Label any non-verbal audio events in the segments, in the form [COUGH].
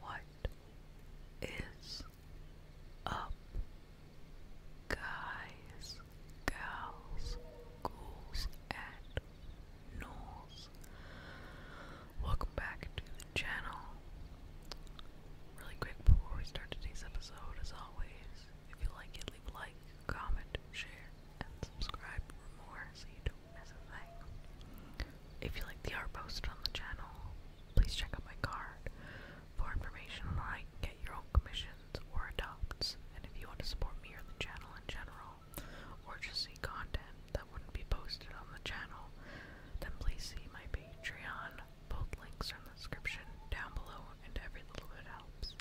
What is up, guys, gals, ghouls, and ghouls? Welcome back to the channel. Really quick before we start today's episode, as always, if you like it, leave a like, comment, share, and subscribe for more if you like the art post on the channel, please check out my card for information on how you get your own commissions or adopts. And if you want to support me or the channel in general, or just see content that wouldn't be posted on the channel, then please see my Patreon. Both links are in the description down below, and every little bit helps.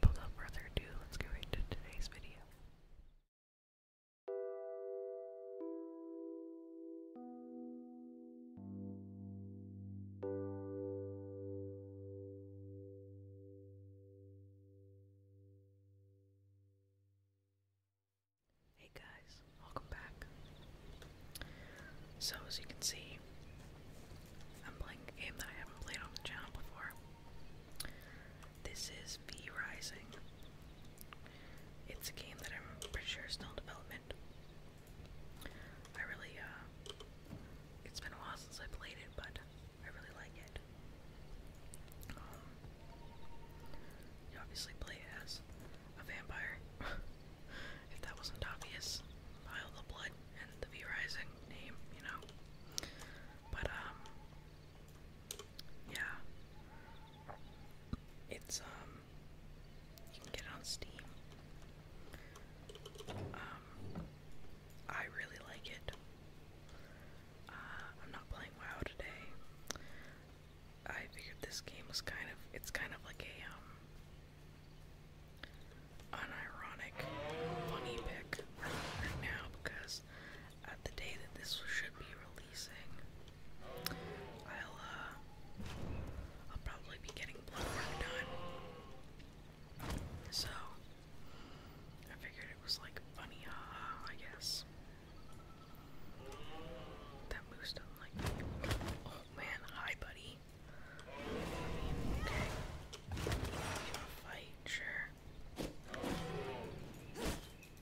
without further ado, let's get into today's video. Hey guys, welcome back. So, as you can see, I'm playing a game that I haven't played on the channel before. This is V Rising. It's a game that I'm pretty sure is still development. I really, uh, it's been a while since I played it, but I really like it. Um, you obviously play as a vampire. [LAUGHS] if that wasn't obvious, Isle of the Blood and the V Rising name, you know. But, um, yeah. It's um you can get on Steam. Um I really like it. Uh, I'm not playing WoW today. I figured this game was kind of it's kind of like a um unironic funny pick right now because at the day that this should be releasing, I'll uh, I'll probably be getting Bloodborne done. So I figured it was like funny, haha, I guess. That moose doesn't like me. Oh man, hi buddy. Okay. fight? Sure.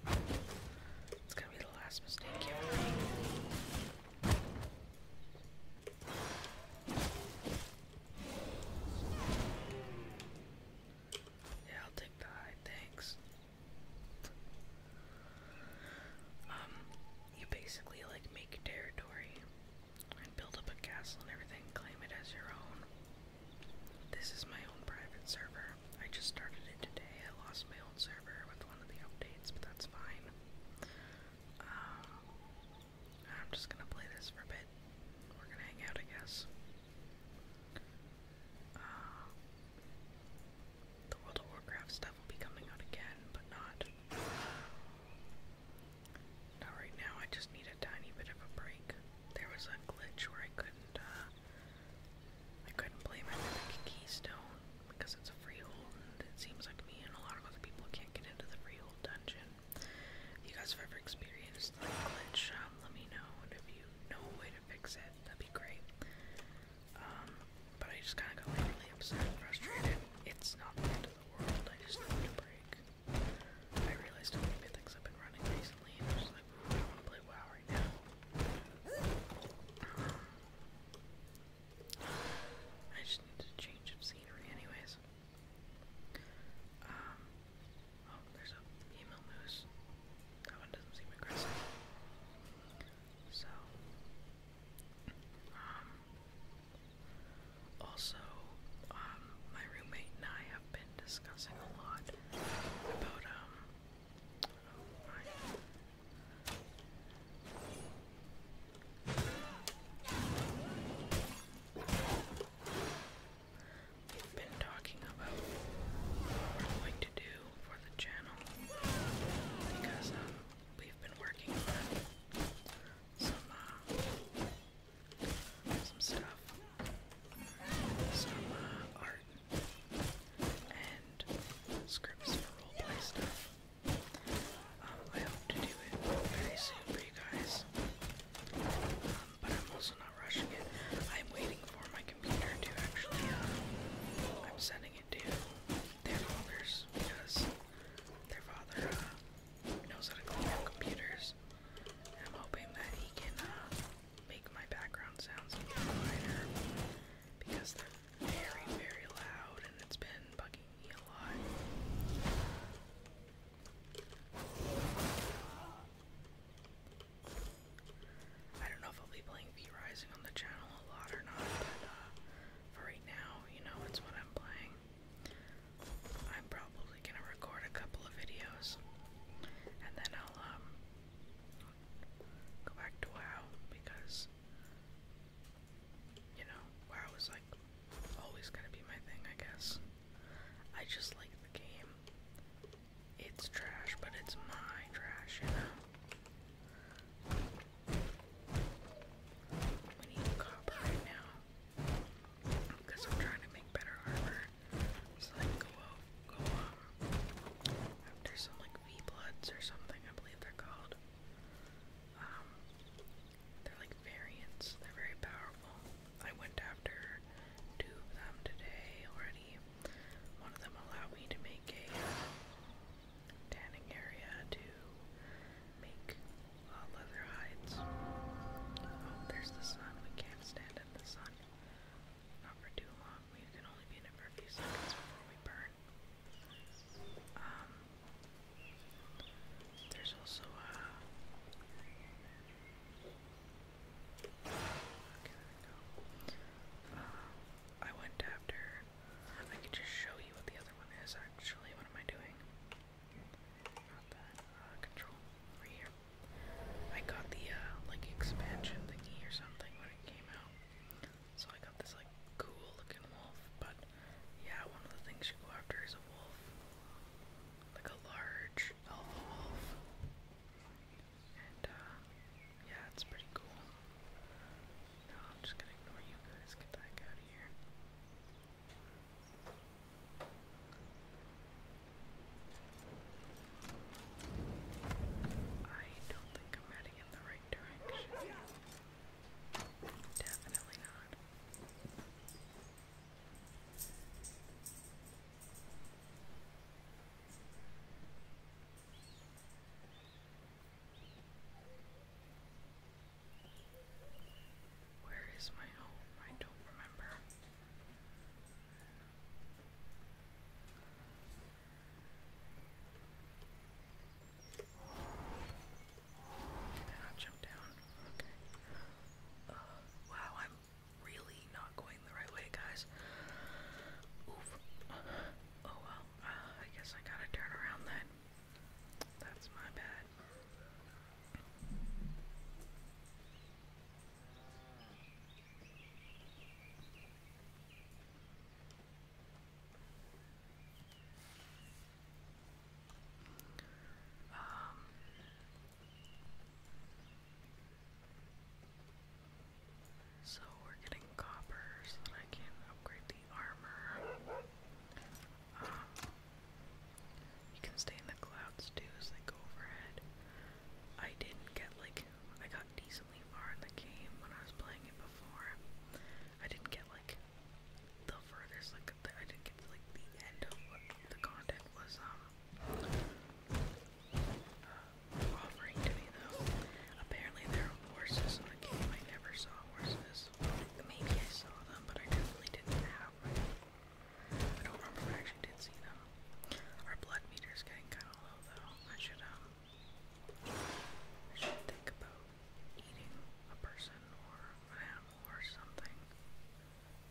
It's gonna be the last mistake Yeah, I'll take the high, thanks. Um, you basically like make territory and build up a castle and everything, claim it as your own. This is my own private server. I just started it today. I lost my own server with one of the updates, but that's fine. Uh, I'm just gonna play this for a bit. We're gonna hang out, I guess. Uh, the World of Warcraft stuff will be coming out again, but not. Not right now, I just need a tiny bit of a break. There was a glitch where I couldn't uh, I couldn't play my Mythic Keystone because it's a freehold, and it seems like me and a lot of other people can't get into the freehold dungeon. If you guys have ever experienced that glitch, um, let me know, and if you know a way to fix it, that'd be great. Um, but I just kind of got really upset and frustrated. It's not the end of the world, I just need a break. I realized how many mythics I've been running recently, actually play WoW right now. I just need to change of scenery anyways. Um, oh, there's a female moose. That one doesn't seem aggressive. So, um, also, um, my roommate and I have been discussing a lot about, um, We've been talking about what we're going to do for the channel because um, we've been working on some uh, some stuff, some uh, art and scripts for roleplay stuff. Um, I hope to do it very soon for you guys. Um, but I'm also not rushing it. I'm waiting for my computer to actually, uh, I'm sending it to their fathers because their father, uh, knows how to clean up computers. I'm hoping that he can, uh, make my background sounds a because they're very, very loud and it's been bugging me a lot. I don't know if I'll be playing V Rising on the channel a lot or not, but uh, for right now, you know, it's what I'm playing. I'm probably gonna record a couple of videos, and then I'll um, go back to WoW because you know WoW is like always gonna be my thing, I guess. I just like the game. It's trash, but it's my trash, you know. We need copper right now because I'm trying to make better armor. It's like go go after some like V or something, I believe they're called. Um, they're like variants. They're very powerful. I went after two of them today already. One of them allowed me to make a uh, tanning area to make uh, leather hides. Oh, there's the sun. We can't stand in the sun. Not for too long we can only be in it for a few seconds before we burn. Um, there's also uh, a. Uh, went after. I could just show you what the other one is actually. What am I doing? Not that. Uh, control. Right here. I got the uh, like expansion thingy or something when it came out. So I got this like cool looking wolf, but yeah, one of the things you go after is a wolf. Like a large alpha wolf. And uh yeah, it's pretty cool. No, I'm just gonna ignore you guys, get the heck out of here. I don't think I'm heading in the right direction. Definitely not. Where is my home? I don't remember. I not jump down? Okay. Uh, wow, I'm really not going the right way, guys. Oof. Oh well. Uh, I guess I gotta turn around then. That's my bad so we're getting copper so that I can upgrade the armor. Um, you can stay in the clouds too as they go overhead. I didn't get like I got decently far in the game when I was playing it before. I didn't get like the furthest, like I didn't get to like the end of what the content was um, uh, offering to me though. Apparently there are horses in the game. I never saw horses. Maybe I saw them, but I definitely didn't have I don't remember if I actually did see them. Our blood meter's getting kind of low though. I should um, I should think about eating a person or an animal or something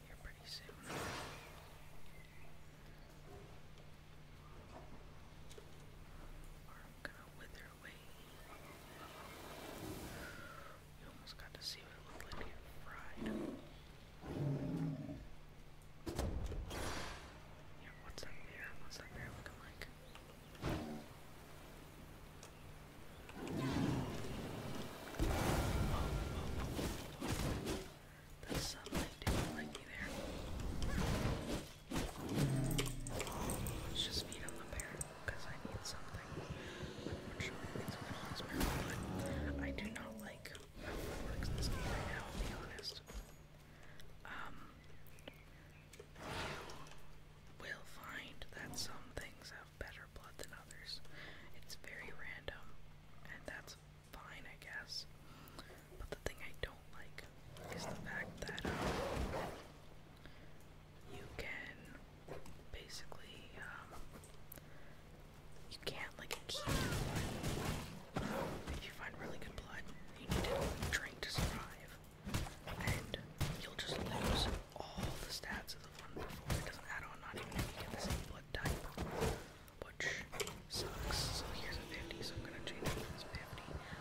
here pretty soon. Or I'm gonna wither away. You almost got to see what it looked like here fried what's that mirror? What's that mirror looking like? That sunlight didn't there. Let's just feed him the bear because I need something. I'm sure it's going on bear, but I do not like how it works in this game right now, be honest you um, will find that some things have better blood than others. It's very random, and that's fine, I guess. But the thing I don't like is the fact that um, you can basically, um, you can't like if you find really good blood, you need to drink to survive. And you'll just lose all the stats of the one before. It doesn't add on, not even if you get the same blood type. Which sucks. So here's a 50, so I'm gonna change it to this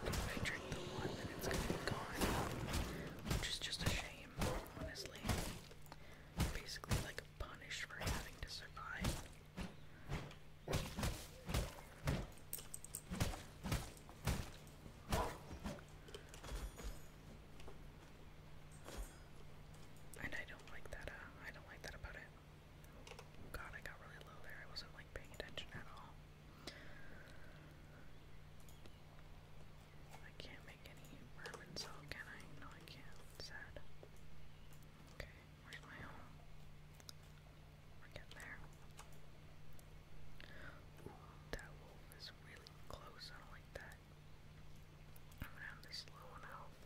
50. if I drink the one, then it's gonna be gone. Which is just a shame, honestly. Basically like punished for having to survive. And I don't like that, uh, I don't like that about it. Oh, God, I got really low there. I wasn't like paying attention at all. I can't make any bourbon salt, can I? No, I can't. Sad. Okay, where's my home? We're there. that wolf is really close. I don't like that. I'm gonna have this low on health.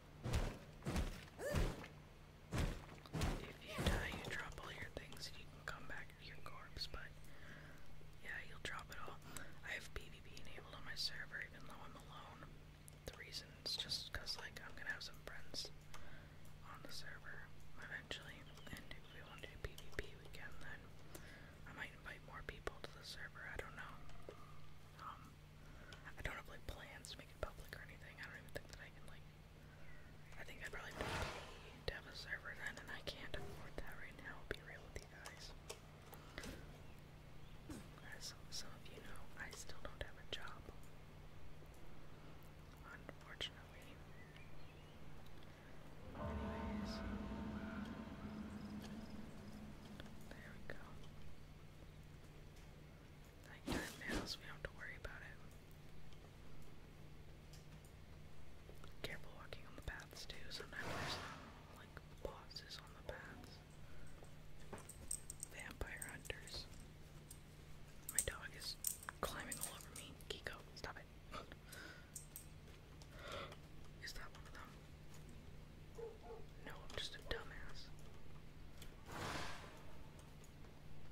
If you die, you drop all your things and you can come back to your corpse, but yeah, you'll drop it all. I have PvP enabled on my server even though I'm alone. The reason is just like, I'm gonna have some friends on the server eventually, and if we want to do PvP, we can then. I might invite more people to the server, I don't know. Um, I don't have, like, plans to make it public or anything. I don't even think that I can, like, I think I'd probably pay to have a server then, and I can't afford that right now, I'll be real with you guys. As some of you know, I still don't have a job. Unfortunately. Anyways. There we go nighttime now, we have to worry about it. Careful walking on the paths too, sometimes there's like, bosses on the paths. Vampire hunters. My dog is climbing all over me. Kiko, stop it. Is that one of them? No, I'm just a dumbass.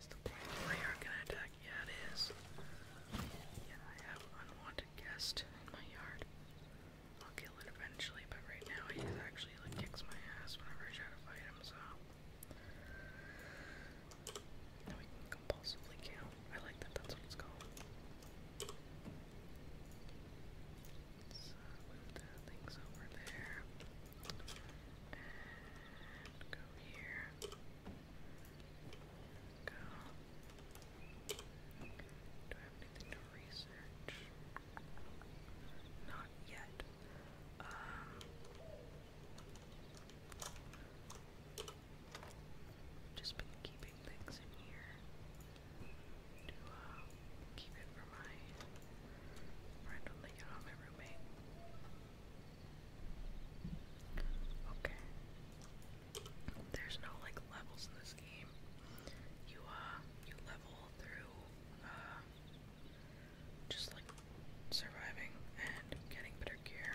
Is the plane layer gonna attack? Yeah, it is. Yeah, I have unwanted guest in my yard. I'll kill it eventually, but right now he actually like kicks my ass whenever I try to fight him, so we can compulsively kill. I like that that's what it's called. So move the things over there. And go here. Go. Do I have anything to research? Not yet. just been keeping things in here to uh, keep it for my friend when get on my roommate. Okay. There's no like levels in this game. You uh you level through uh just like surviving and getting better gear.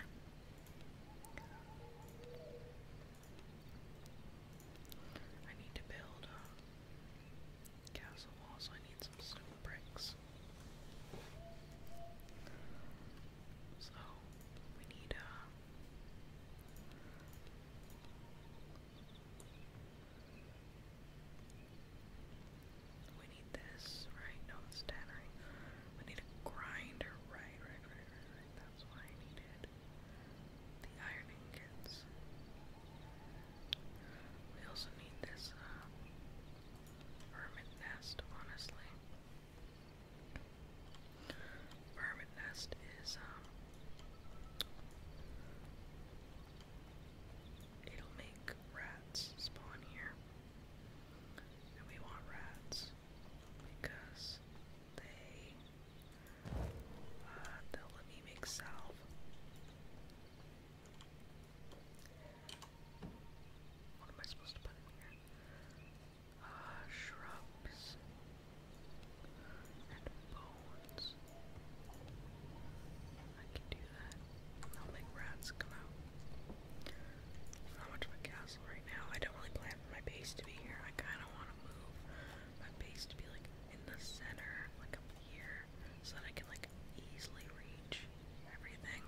I need to build uh, castle wall, I need some stone bricks. So we need uh, we need this, right? No, it's We need a grinder, right, right, right, right, right. That's why I needed the iron ingots. We also need this, uh, Hermit Nest, honestly. Hermit Nest is, um, it'll make rats spawn here. And we want rats because they, uh, they'll let me make salve. What am I supposed to put here? Ah, shrubs and bones. I can do that. I'll make rats come out. It's not much of a castle right now. I don't really plan for my base to be here. I kind of want to move my base to be like in the center, like up here, so that I can like easily reach everything.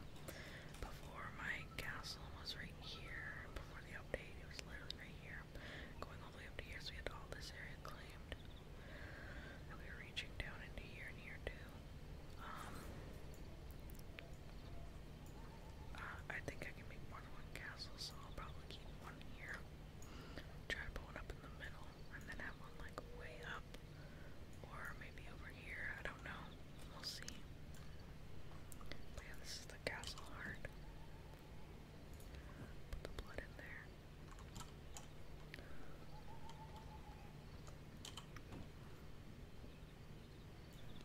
Before my castle was right here, before the update, it was literally right here. Going all the way up to here, so we had all this area claimed. And we were reaching down into here and here too. Um, uh, I think I can make more than one castle, so I'll probably keep one here. Try to put one up in the middle, and then have one like way up or maybe over here, I don't know. We'll see. yeah, this is the castle heart. Put the blood in there.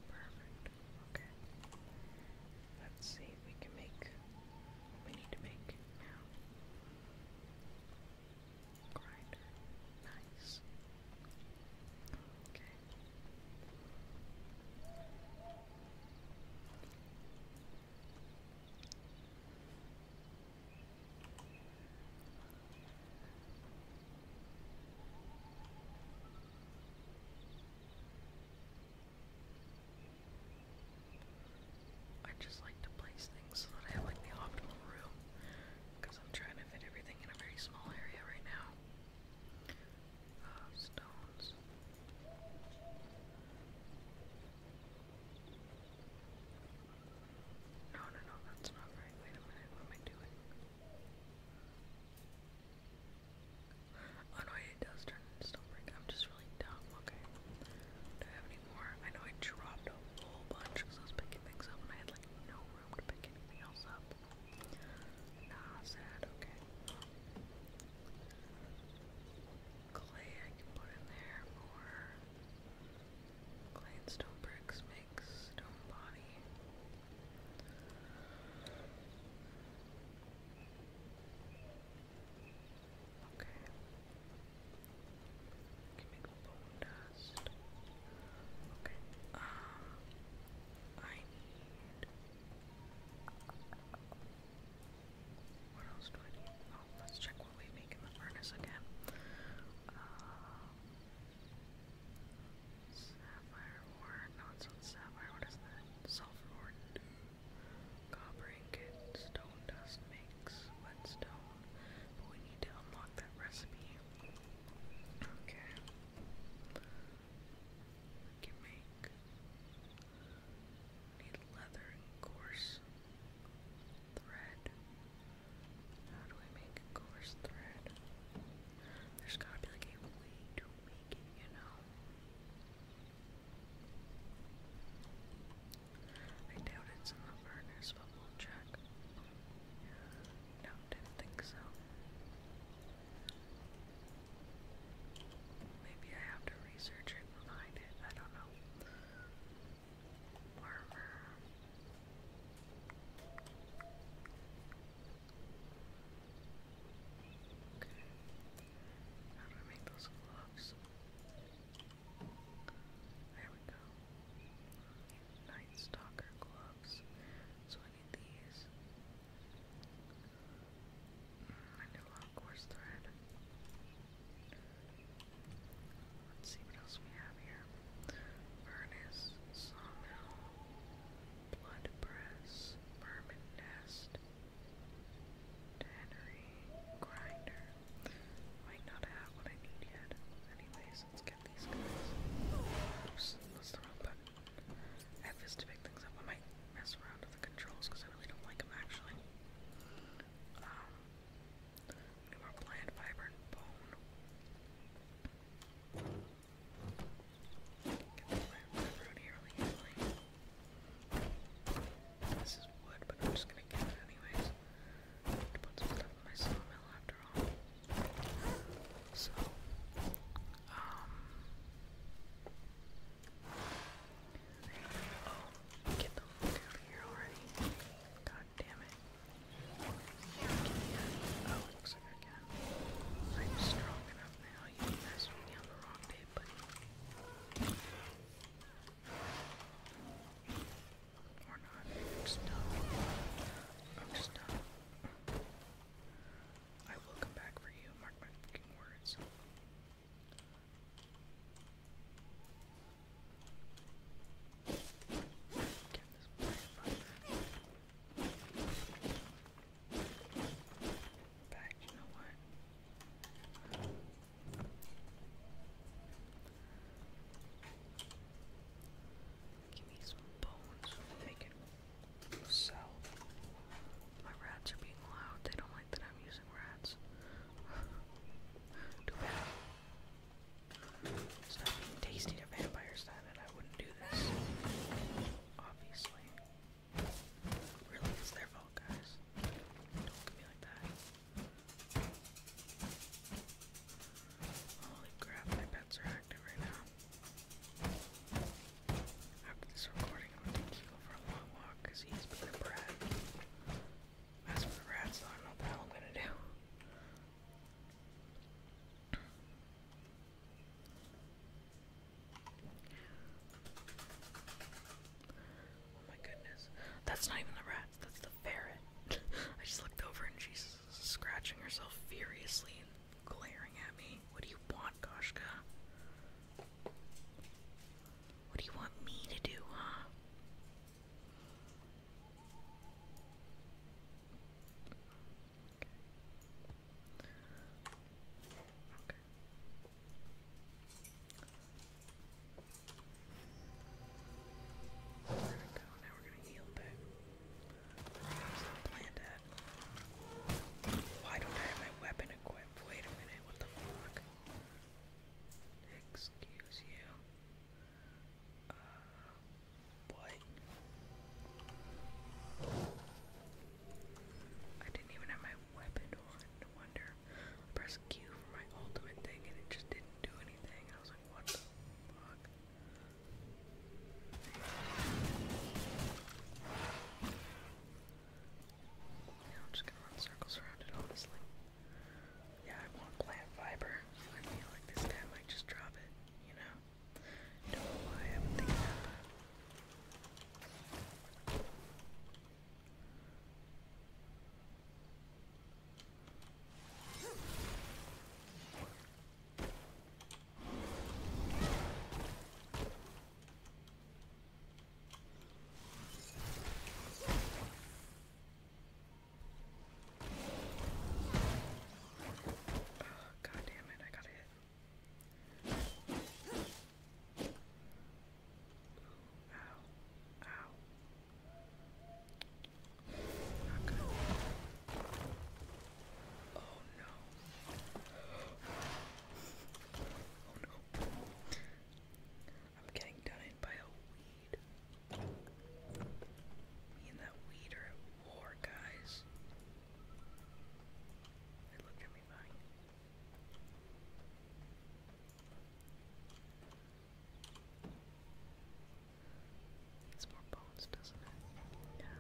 Perfect. Okay. Let's see if we can make we need to make now. Nice. I just like to place things so that I have like the optimal room because I'm trying to fit everything in a very small area right now. Uh, stones. No, no, no, that's not right. Wait a minute, what am I doing? Oh no, it does turn into stone brick. I'm just really dumb. Okay. Do I have any more? I know I dropped a whole bunch because I was picking things up and I had like no room to pick anything else up. Nah, okay. Clay I can put in there more. Clay and stone bricks make stone body. Okay. can make bone dust. Okay. Um I Oh, let's check what we make in the furnace again. Uh, sapphire ore, no, it's sapphire, what is that? Sulfur ore, copper ingot, stone dust makes whetstone, but we need to unlock that recipe. Okay need leather coarse thread. How do I make coarse thread? There's gotta be like a way to make it, you know. I doubt it's in the furnace, but we no, didn't think so. Maybe I have to research and find it. I don't know. Armor. Okay. How do I make those gloves? There we go. Night Stalker gloves. So many of these. Mm, I thread. Let's see what else we have here. Furnace, sawmill, blood press, vermin grinder. Might not have what I need yet. Anyways, guys. Let's get these guys. Oops, the wrong button. I have to pick things up. I might mess around with the controls because I really don't like them actually. more um, plant, fiber, bone. Get the plant, fiber out here really This is wood, but I'm just gonna get it anyways. To put some stuff my sawmill after all. So, um, oh, get the fuck out of here already! God damn it! oh, looks like I can. strong enough now. You messed with me on the wrong day, buddy. Or not. done. I'm just done. I will come back for you, mark my fucking words. back, you know what? Give me some bones. So, my rats are being loud. They don't like that I'm using rats. [SIGHS] Too bad. It's not tasty to vampires then, and I wouldn't do this. Obviously. Really, it's their fault, guys. Don't look at me like that. Holy crap, my pets are active right now. After this recording, I'm gonna for a long walk because he's been a As for the rats, I don't know what I'm gonna do. Oh my goodness. That's not even the rats, that's the ferret. [LAUGHS] I just looked over and Jesus scratching herself furiously and glaring at me. What do you want, Goshka? What do you want me to do, huh? Why don't I have my weapon equipped? Wait a minute, what the fuck? Excuse you. Uh, what? I didn't even have my weapon on, no wonder. I Q for my ultimate thing and it just didn't do anything. I was like, what the fuck? I'm just gonna run circles around it, honestly. Yeah, I want plant fiber. I feel like this guy might just drop it, you know? Don't know why I haven't thinking about that. God damn it, I got it. Ooh, ow, ow. Not good. Oh no. Oh no. I'm getting done in by a weed. Me and that weed are at war, guys. It at me fine needs more bones, doesn't it? Yeah.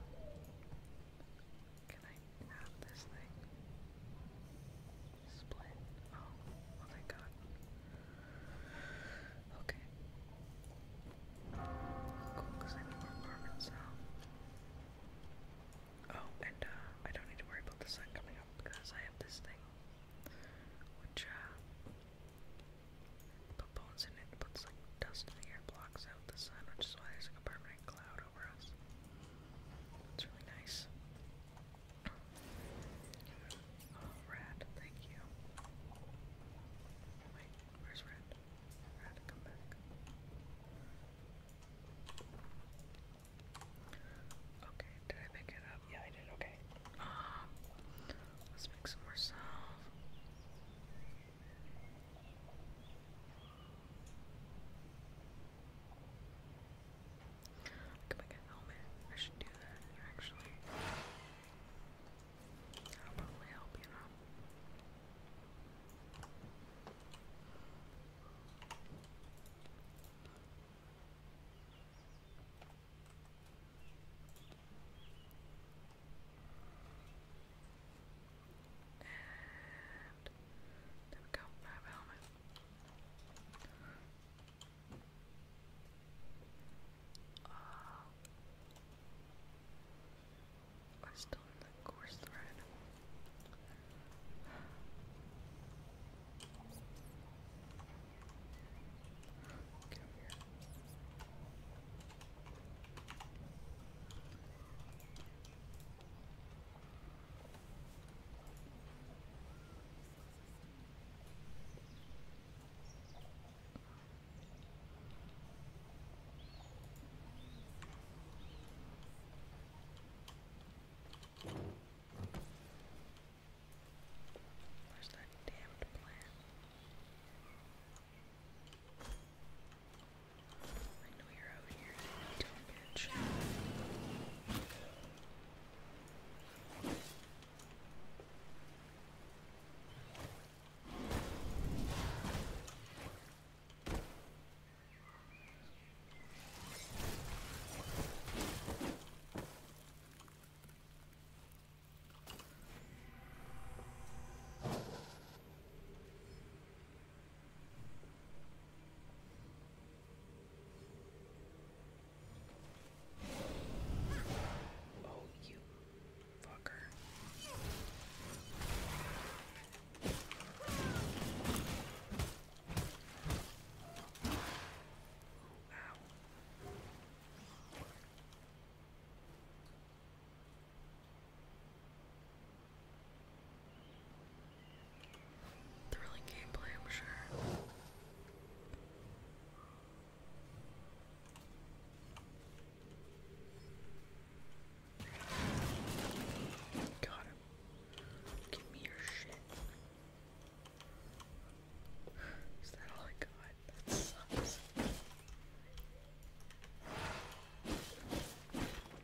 Can I have this thing? Split. Oh, oh my god. Okay. Cool, because I need more carbon, Oh, and uh, I don't need to worry about the sun coming up because I have this thing. Which, uh, bones in it, puts like dust in the air, blocks out the sun, which is why there's like a permanent cloud over us. It's really nice. Oh, Red, thank you. Oh, wait, where's Red? Red, come back. Okay, did I pick it up? Yeah, I did. Okay. Ah, let's make some more salve. I can make a I should do that actually. That'll probably help, you know. And there we go, I helmet. Uh, I still in the course thread. Where's that damned plant? I know you're out here, you dumb bitch. Oh, you fucker. Ow. Thrilling gameplay, I'm sure. Got Give me your shit. [SIGHS] Is that all I got? That sucks.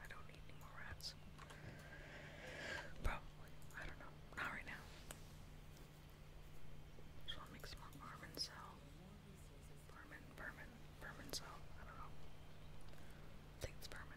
I don't need any more rats. Probably. I don't know. Not right now. So I'll make some more cell. Barman, Barman, Barman cell. I don't know. think it's Barman.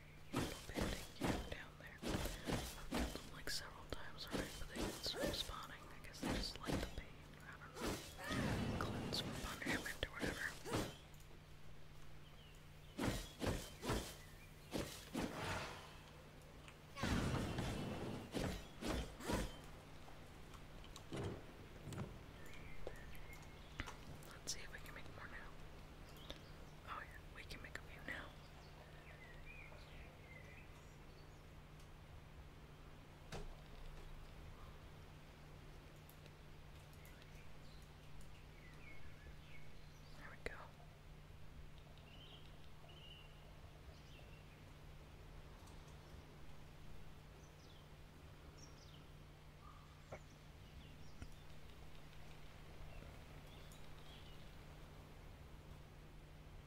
I've killed them like several times already, but they didn't start spawning. I guess they just like the pain. I don't know. Cleanse from punishment or whatever. Let's see if we can make more now. Oh, yeah, we can make a view now. There we go.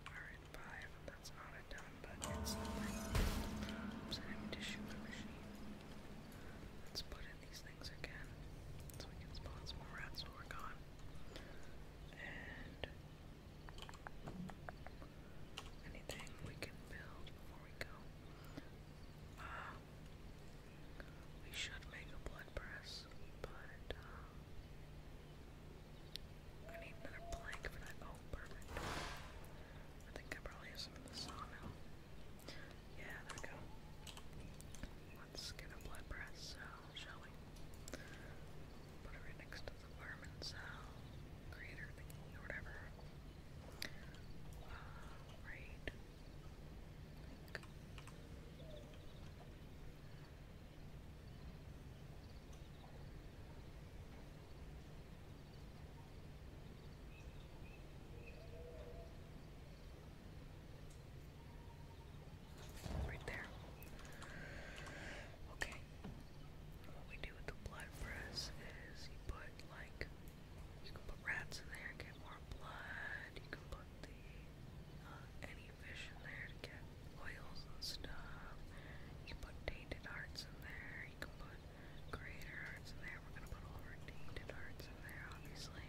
Alright, five. That's not a ton, but it's something. Oops, I need to shoot my machine. Let's put in these things again. So we can spawn some more rats to work on. And anything we can build before we go. Um, we should make a blood press, but uh, I need another plank for that. Oh, perfect. I think I probably have some in the sawmill. Yeah, there go. Let's get a blood press cell, uh, shall we? Put it right next to the vermin cell, creator thingy or whatever. Uh, right Right there. Okay. What we do with the blood press is you put like you can put rats in there, get more blood. You can put the uh, any fish in there to get oils and stuff. You can put tainted hearts in there. You can put creator hearts in there. We're gonna put all our tainted hearts in there, obviously.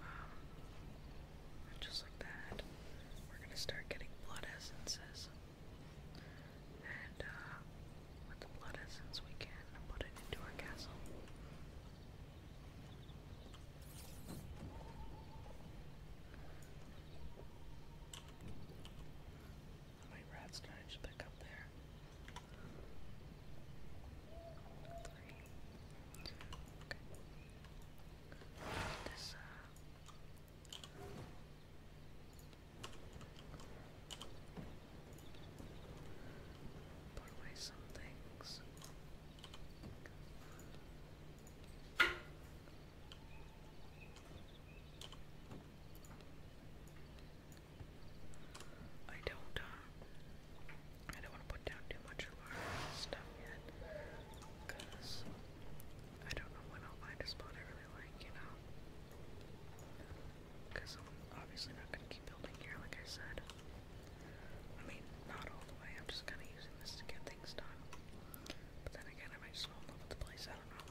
Um, just like that, we're gonna start getting blood essences. And uh, with the blood essence we can and put it into our castle. How rats did I pick up there? Three. Okay. This, uh, Put away some things. I don't, uh, I don't want to put down too much of our stuff yet, because I don't know when I'll find a spot I really like, you know? Because I'm obviously not going to keep building here, like I said. I mean, not all the way, I'm just kind of using this to get things done. But then again, I might just fall in love with the place, I don't know.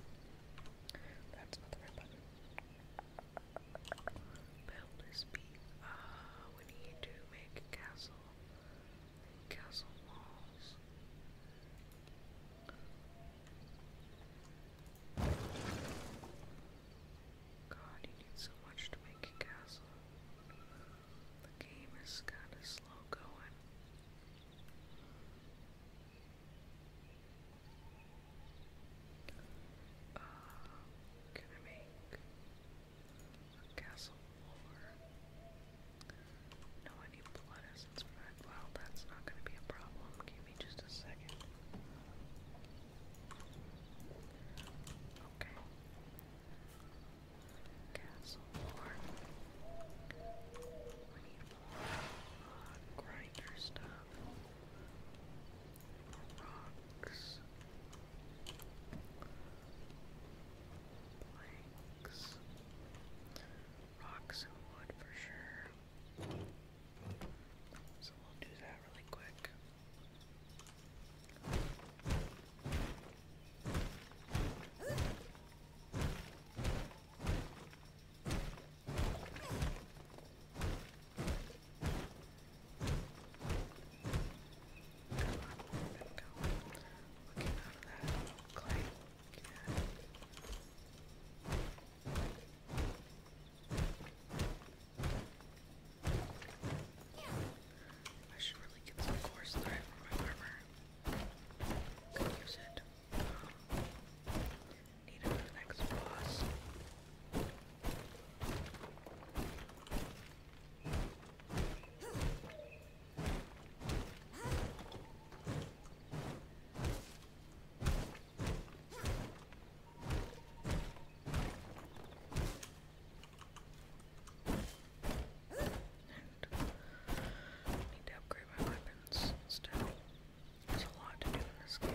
That's not the right button. Build is B. Uh, we need to make castle. Castle walls. God, you need so much to make a castle. The game is kinda slow going. Uh, can make a castle floor? No, I need blood essence for Well, that's not gonna be a problem. Give me just a second. Okay. Castle more. We grinder stuff. Rocks. Planks. Rocks and wood for sure. So we'll do that really quick. Looking out of that clay. Yeah. Okay, I should really get some course thread for my armor. Could use it. Um, need it for the next boss need to upgrade my weapons still. There's a lot to do in this game,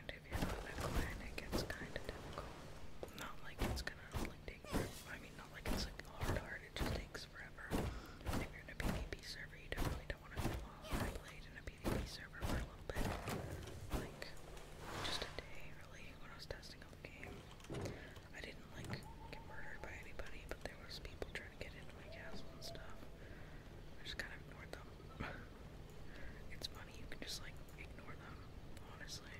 and if you're a clan, it gets kind of difficult. Not like it's gonna take I mean, not like it's like hard hard. It just takes forever. if you're in a PvP server, you definitely don't want to feel off. I played in a PvP server for a little bit, like just a day, generally when I was testing out the game. I didn't like get murdered by anybody, but there was people trying to get into my castle and stuff. I just kind of ignored them. [LAUGHS] it's funny you can just like ignore them, honestly.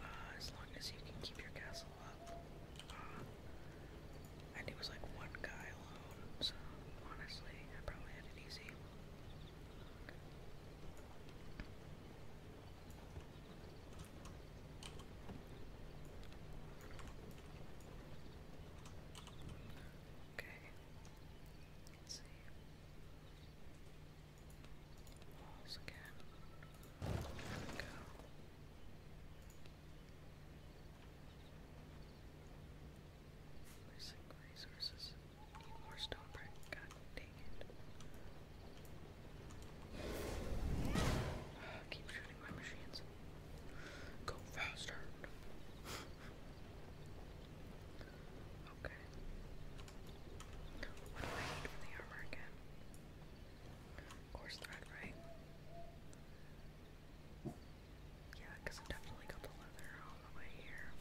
Uh, as long as you can keep your castle up. Uh, and it was like one guy alone, so honestly, I probably had it easy. Okay. Let's see. Walls again. go. Placing resources. Need more stone brick. God dang it. [SIGHS] keep shooting my machines. Go faster. [LAUGHS] okay. What do I need for the armor again? Course thread, right? Yeah, I definitely got the leather all the way here.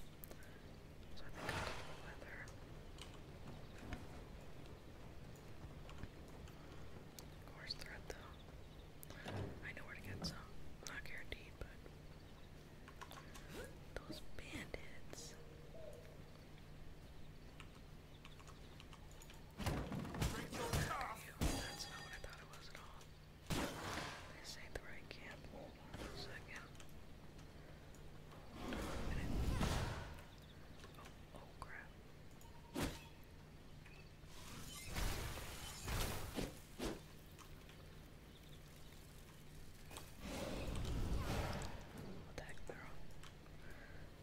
So I thread though. I know where to get some. Not guaranteed, but those bandits. That's not what I thought it was at all. This ain't the right camp. Hold on a second. Oh, oh crap. What the heck, they're all...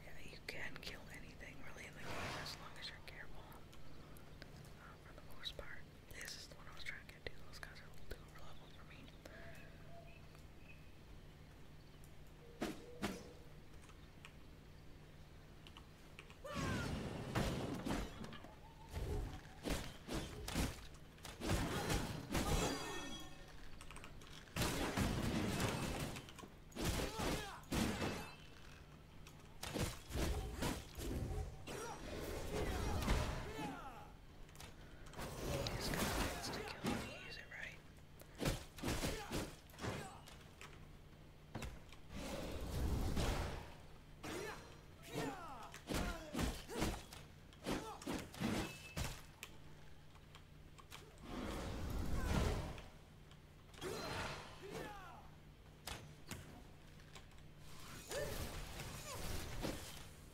Yeah, you can kill anything really in the game as long as you're careful. Uh, for the most part. This is the one I was trying to can't do. Those guys are a little too over level for me. He's got plans to kill me, is it right?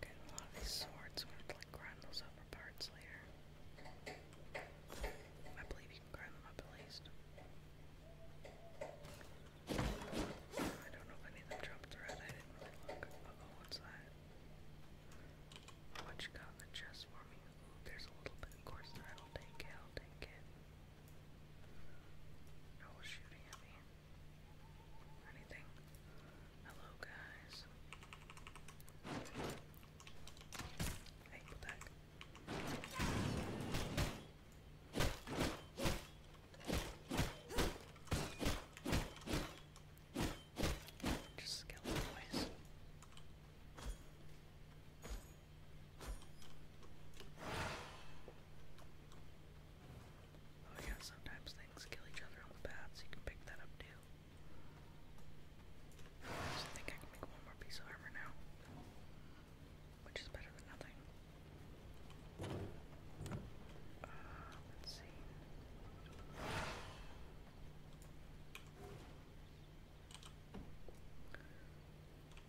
Getting a lot of these swords. We're to like grind those up parts later. I believe you can grind them up at least. I don't know if any of them dropped red. I didn't really look. what's that? What you got in the chest for me? there's a little bit of course that I'll take it, I'll take it. No shooting at me or anything. Hello, guys. Hey, pull back. Just Oh yeah, sometimes things kill each other on the path, so you can pick that up too. I think I can make one more piece of armor now. Which is better than nothing. Uh, let's see.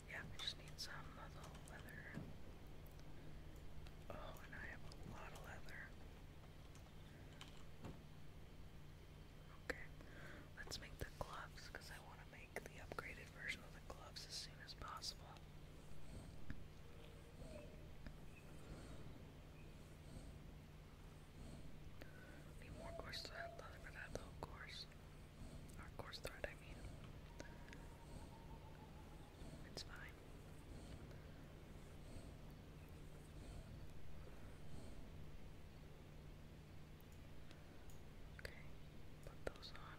Yeah, I just need some of leather. Oh, and I have a lot of leather. Okay, let's make the gloves because I want to make the upgraded version of the gloves as soon as possible. Need more course thread, leather for that little course. Or course thread, I mean. It's fine. Okay, put those on.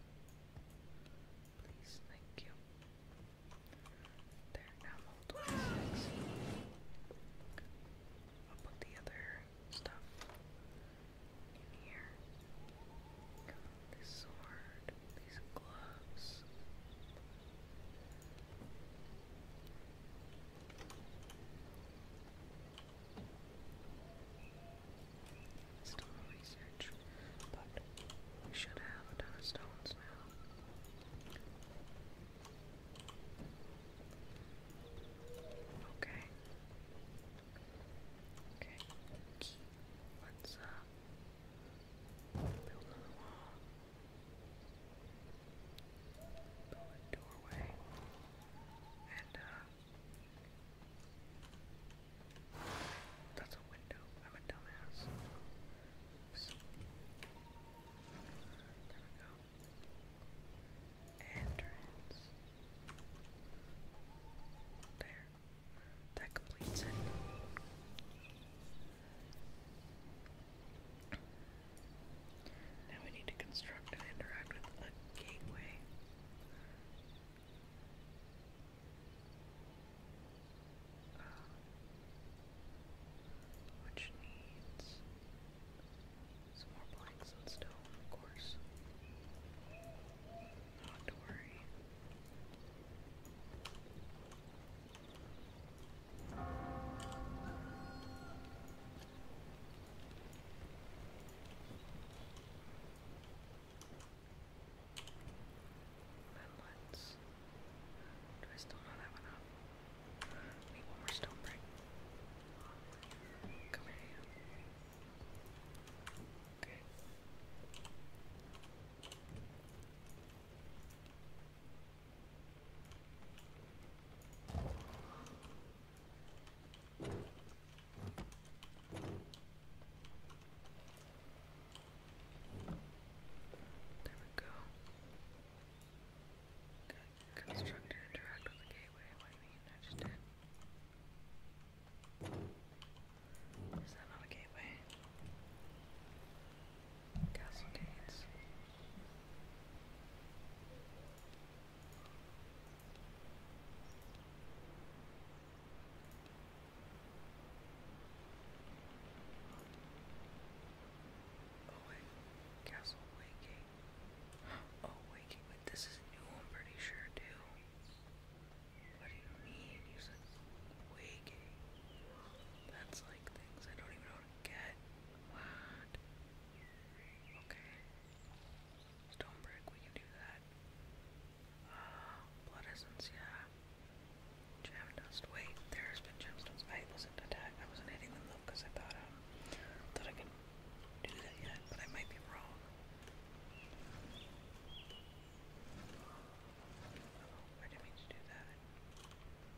Please, thank you. There, now mold six. I'll put the other stuff in here. This sword these gloves. Still no but we should have a stones now. Okay. Okay. Let's uh build wall doorway and that's a window. I'm a dumbass. There we go. Entrance. There. That completes it. Now we need to construct and interact with a gateway. Uh, which needs some more planks and stone, of course. Not to worry. Let's. Do I still not have enough? Need one more stone break. Come here. Okay. There we go. Constructor interact with the gateway. What do you just did. Is that not a gateway? Castlegates. Oh wait, Castle Waking. Oh Waking, wait, this is new, I'm pretty sure too. What do you mean? You said Waking. That's like things I don't even know how to get. What? Okay. Stone brick, we can do that. Uh, [GASPS] blood essence, yeah. Gem dust. Wait, there's been gemstones. I wasn't attack. I wasn't hitting them because I thought um thought I could do that yet, but I might be wrong. Oh, I didn't to do that.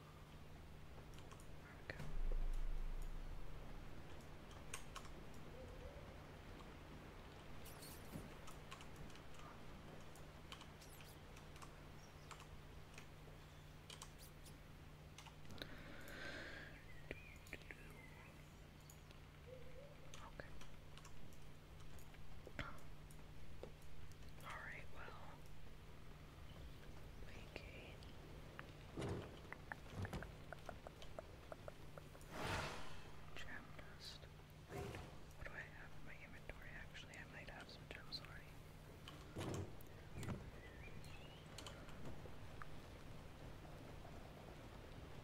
we go. All right, well, Okay. Gem what do I have in my inventory? Actually, I might have some gems already.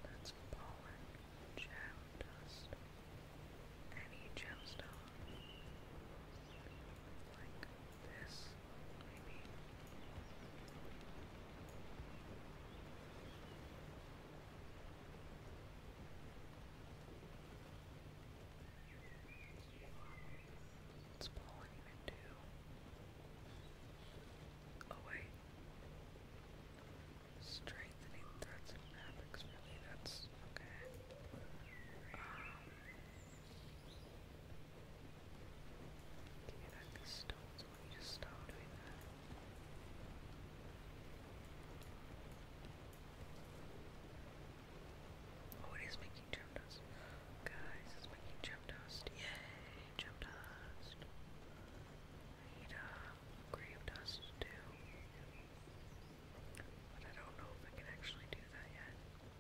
That's pollen, gem dust, any gemstone like this, maybe. What's blowing Oh wait. Strengthening threats and fabrics, really, that's okay. Um, can you knock these stones when just stop doing that? Oh, it is making gem dust. Guys, it's making gem dust. Yay, gem dust. I need uh, grave dust too. But I don't know if I can actually do that yet.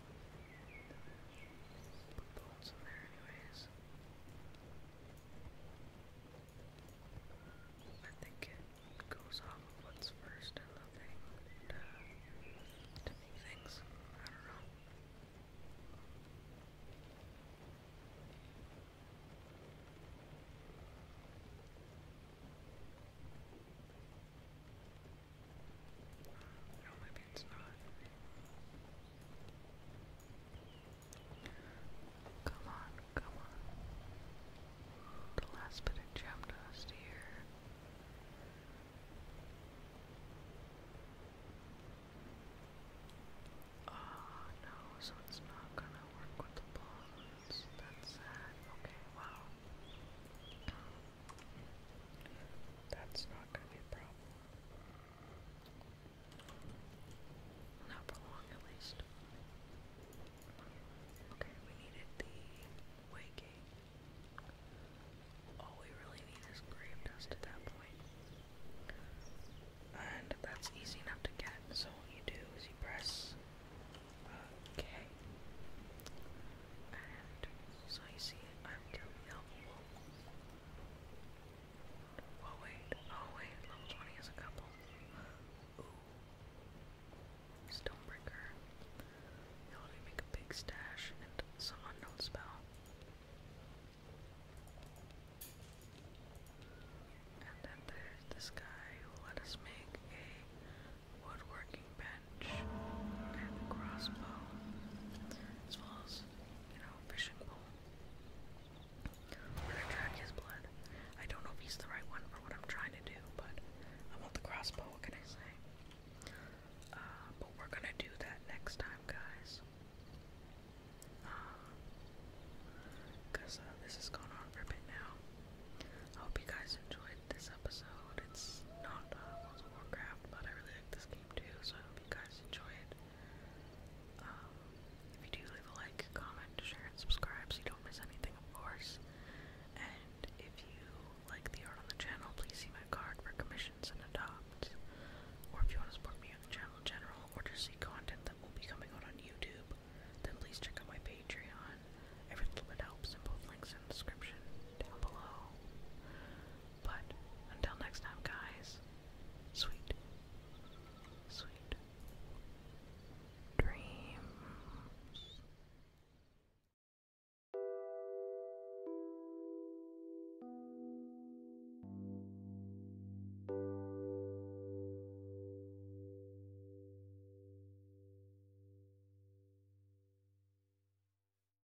I think it goes off of what's first in the thing to, make things. I don't know. No, maybe it's not. Come on, come on. The last bit of gem dust here. Oh no, so it's not gonna work with the bombs. That's sad. Okay, wow. That's not going to be a problem. Not for long, at least. Okay, we needed the waking. All we really need is grave dust at that And that's easy enough to get, so what you do is you press uh, And so I see it. I'm too helpful. Oh wait, oh wait, level 20 is a couple. Stonebreaker. let me make a big stash and some unknown spell. And then there's this guy who let us make a woodworking bench crossbow, as well as, you know, fishing pole. We're gonna track his blood. I don't know if he's the right one for what I'm trying to do, but I want the crossbow, what can I say? Uh, but we're gonna do that next time, guys. Because uh, uh, this has gone on for a bit now. hope you guys enjoyed this episode. It's not World of Warcraft, but I really like this game game so I hope you guys enjoy it. Um, if you do, leave a like, comment, share, and subscribe so you don't miss anything, of course. And if you like the art on the channel, please see my card for commissions and adopt. Or if you want to support me on the channel general, or to see content that will be coming out on YouTube, then please check out my Patreon. Every little bit helps, both links in description down below. But until next time, guys, sweet, sweet dreams.